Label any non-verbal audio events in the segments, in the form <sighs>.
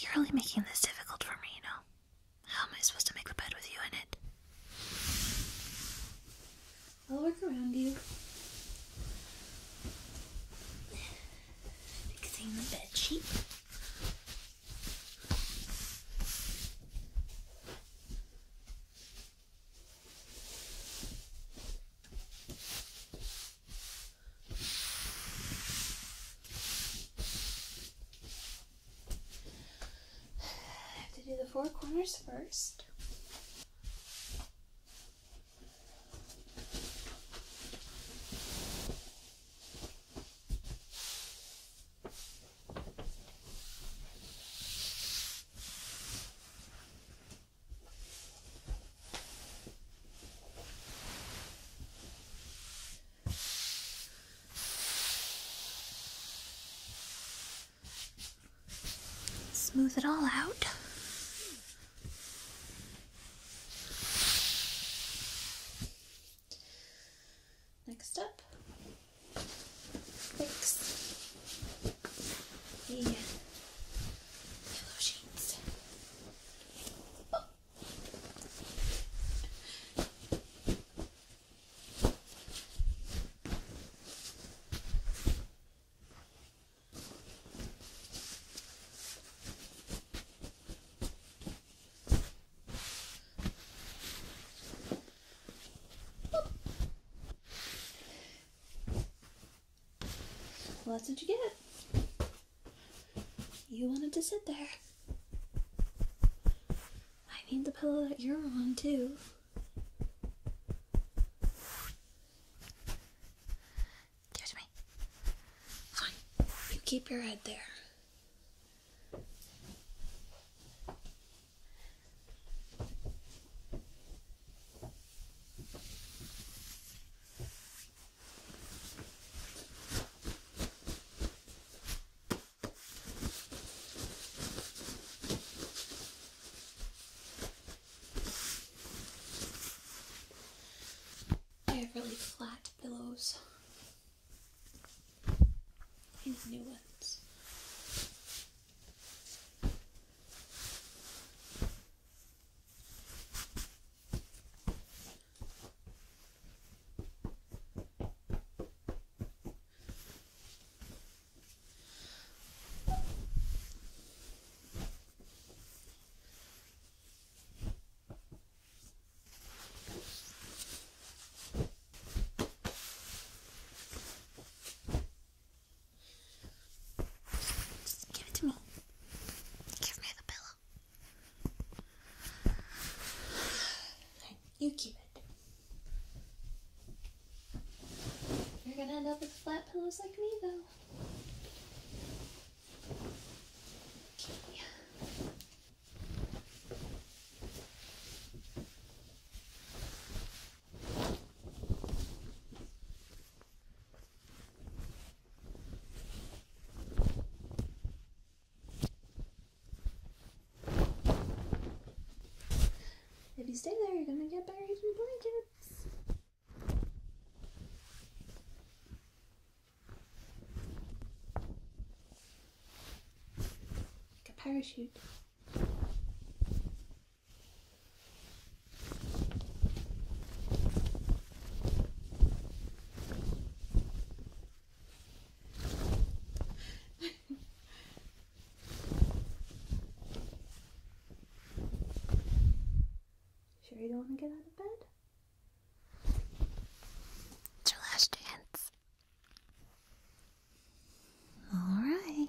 You're really making this difficult for me, you know. How am I supposed to make the bed with you in it? I'll work around you fixing the bed I have to do the four corners first. Smooth it all out. Next up, fix the pillow sheets. Well, that's what you get. You wanted to sit there. I need the pillow that you're on, too. Here's me. Fine. keep your head there. I have really flat pillows and new ones. Give it to me. Give me the pillow. You keep it. You're gonna end up with flat pillows like me, though. If you stay there, you're gonna get buried in blankets. Like a parachute. <laughs> Sure you don't want to get out of bed? It's your last chance. Alright.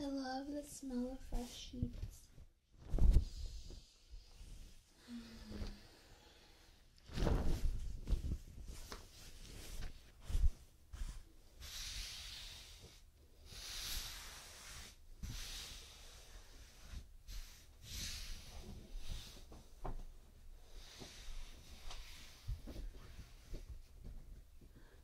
I love the smell of fresh sheets.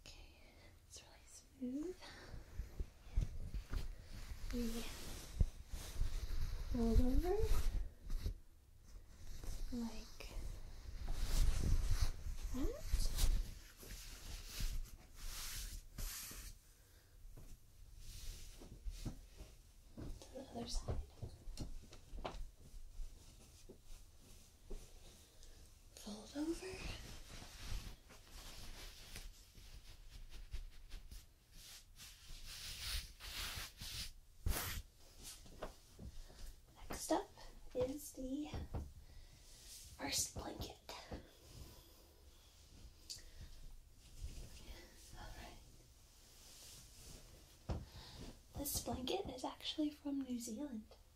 Okay, it's really smooth. We roll over like that. the other side fold over. Next up is the first blanket. This blanket is actually from New Zealand.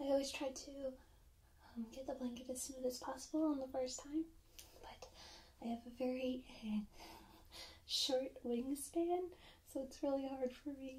I always try to um, get the blanket as smooth as possible on the first time, but I have a very <laughs> short wingspan, so it's really hard for me.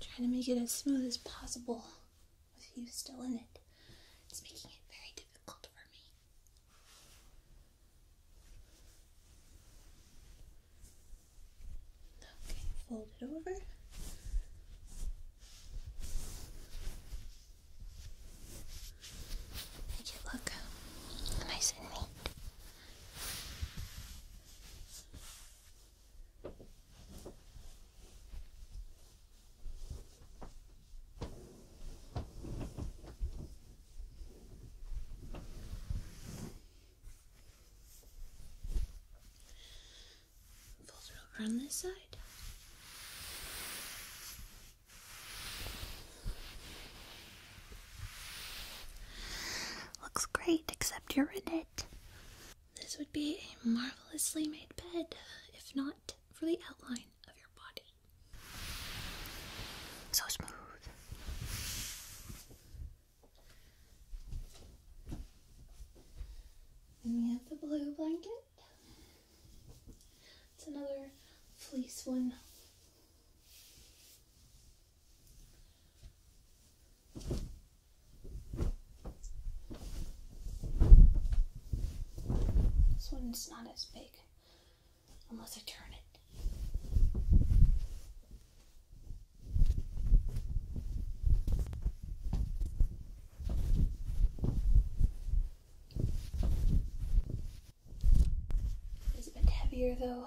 Trying to make it as smooth as possible with you still in it. It's making it very difficult for me. Okay, fold it over. Make it look nice and neat. Fold it over on this side. Looks great, except you're in it. This would be a marvelously made bed, if not for the outline of your body. So smooth. Then we have the blue blanket. It's another fleece one. This one's not as big unless I turn it. It's a bit heavier though.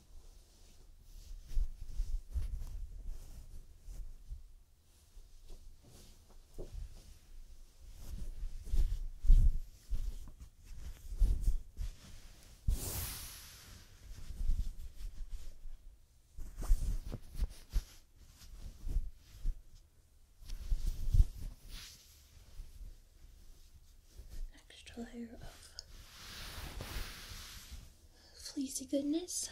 An extra layer of fleecy goodness.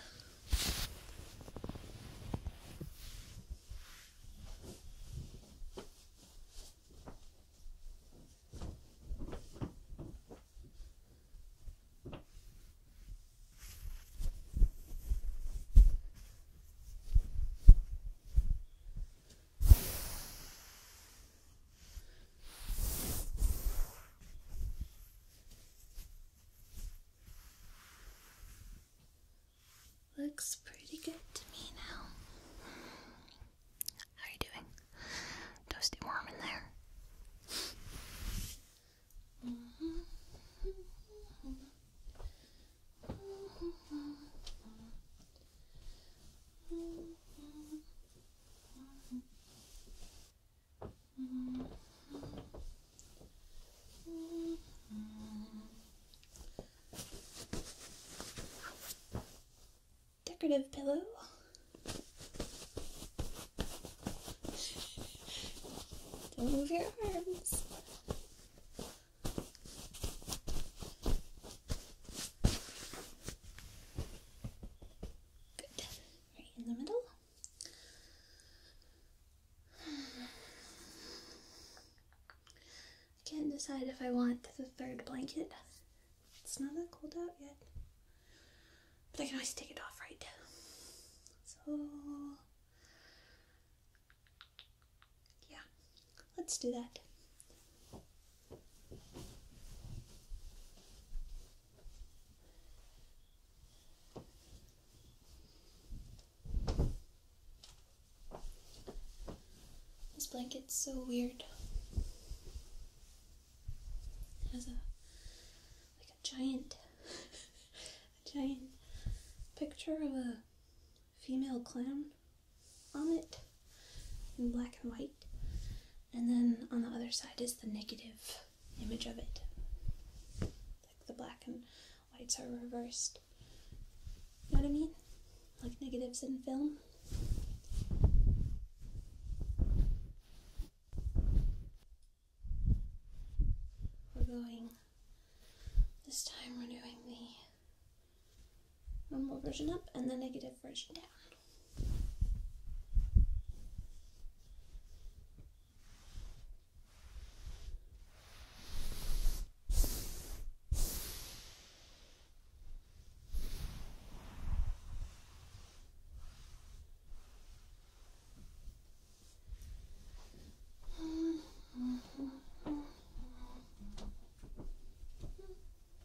Looks pretty good to me now. How are you doing? Toasty warm in there. Decorative pillow. move your arms. Right in the middle. I <sighs> can't decide if I want the third blanket. It's not that cold out yet. But I can always take it off, right? So, yeah, let's do that. This blanket's so weird. It has a like a giant <laughs> a giant picture of a female clown on it in black and white. And then on the other side is the negative image of it. Like the black and whites are reversed. You know what I mean? Like negatives in film. We're going, this time we're doing the normal version up and the negative version down. <laughs>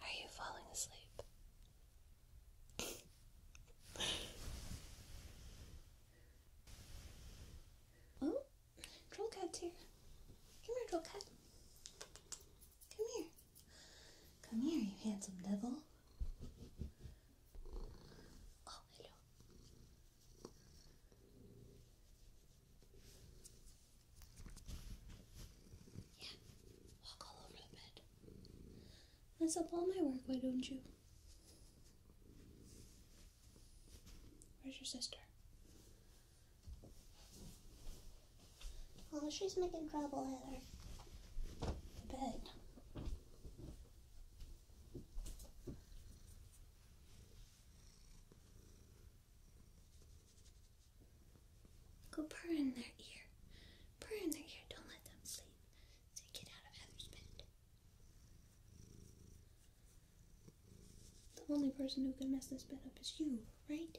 Are you falling asleep? <laughs> oh, troll here. Come here, troll Come here. Come here, you handsome devil. Oh, hello. Yeah, walk all over the bed. That's up all my work, why don't you? Where's your sister? Oh, she's making trouble, Heather. The bed. Go purr in their ear. Purr in their ear. Don't let them sleep. So get out of Heather's bed. The only person who can mess this bed up is you, right?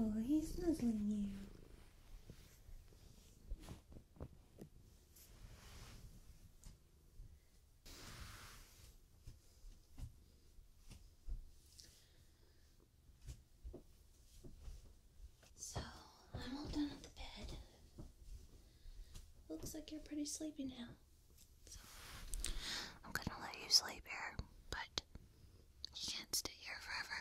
Oh, he's nuzzling you. So, I'm all done with the bed. Looks like you're pretty sleepy now. So, I'm gonna let you sleep here, but you can't stay here forever.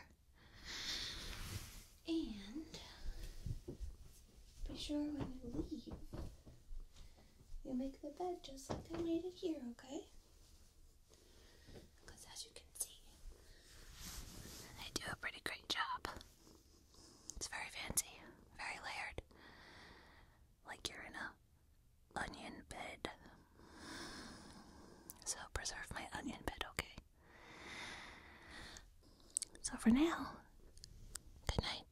And be sure when you leave, you make the bed just like I made it here, okay? Because as you can see, I do a pretty great job. It's very fancy, very layered. Like you're in a onion bed. So preserve my onion bed, okay? So for now, good night.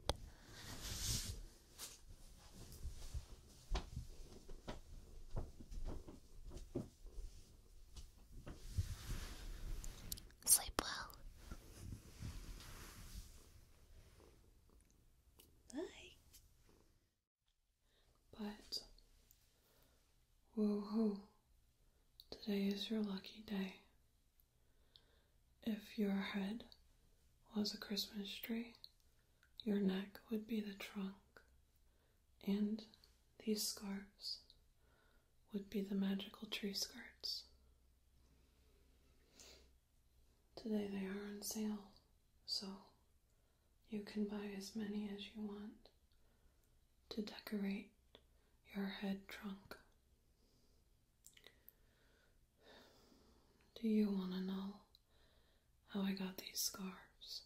Sleep well. Bye. But, woohoo, today is your lucky day. If your head was a Christmas tree, your neck would be the trunk, and these scarves would be the magical tree skirts. Today they are on sale, so you can buy as many as you want to decorate your head trunk. Do you want to know how I got these scarves?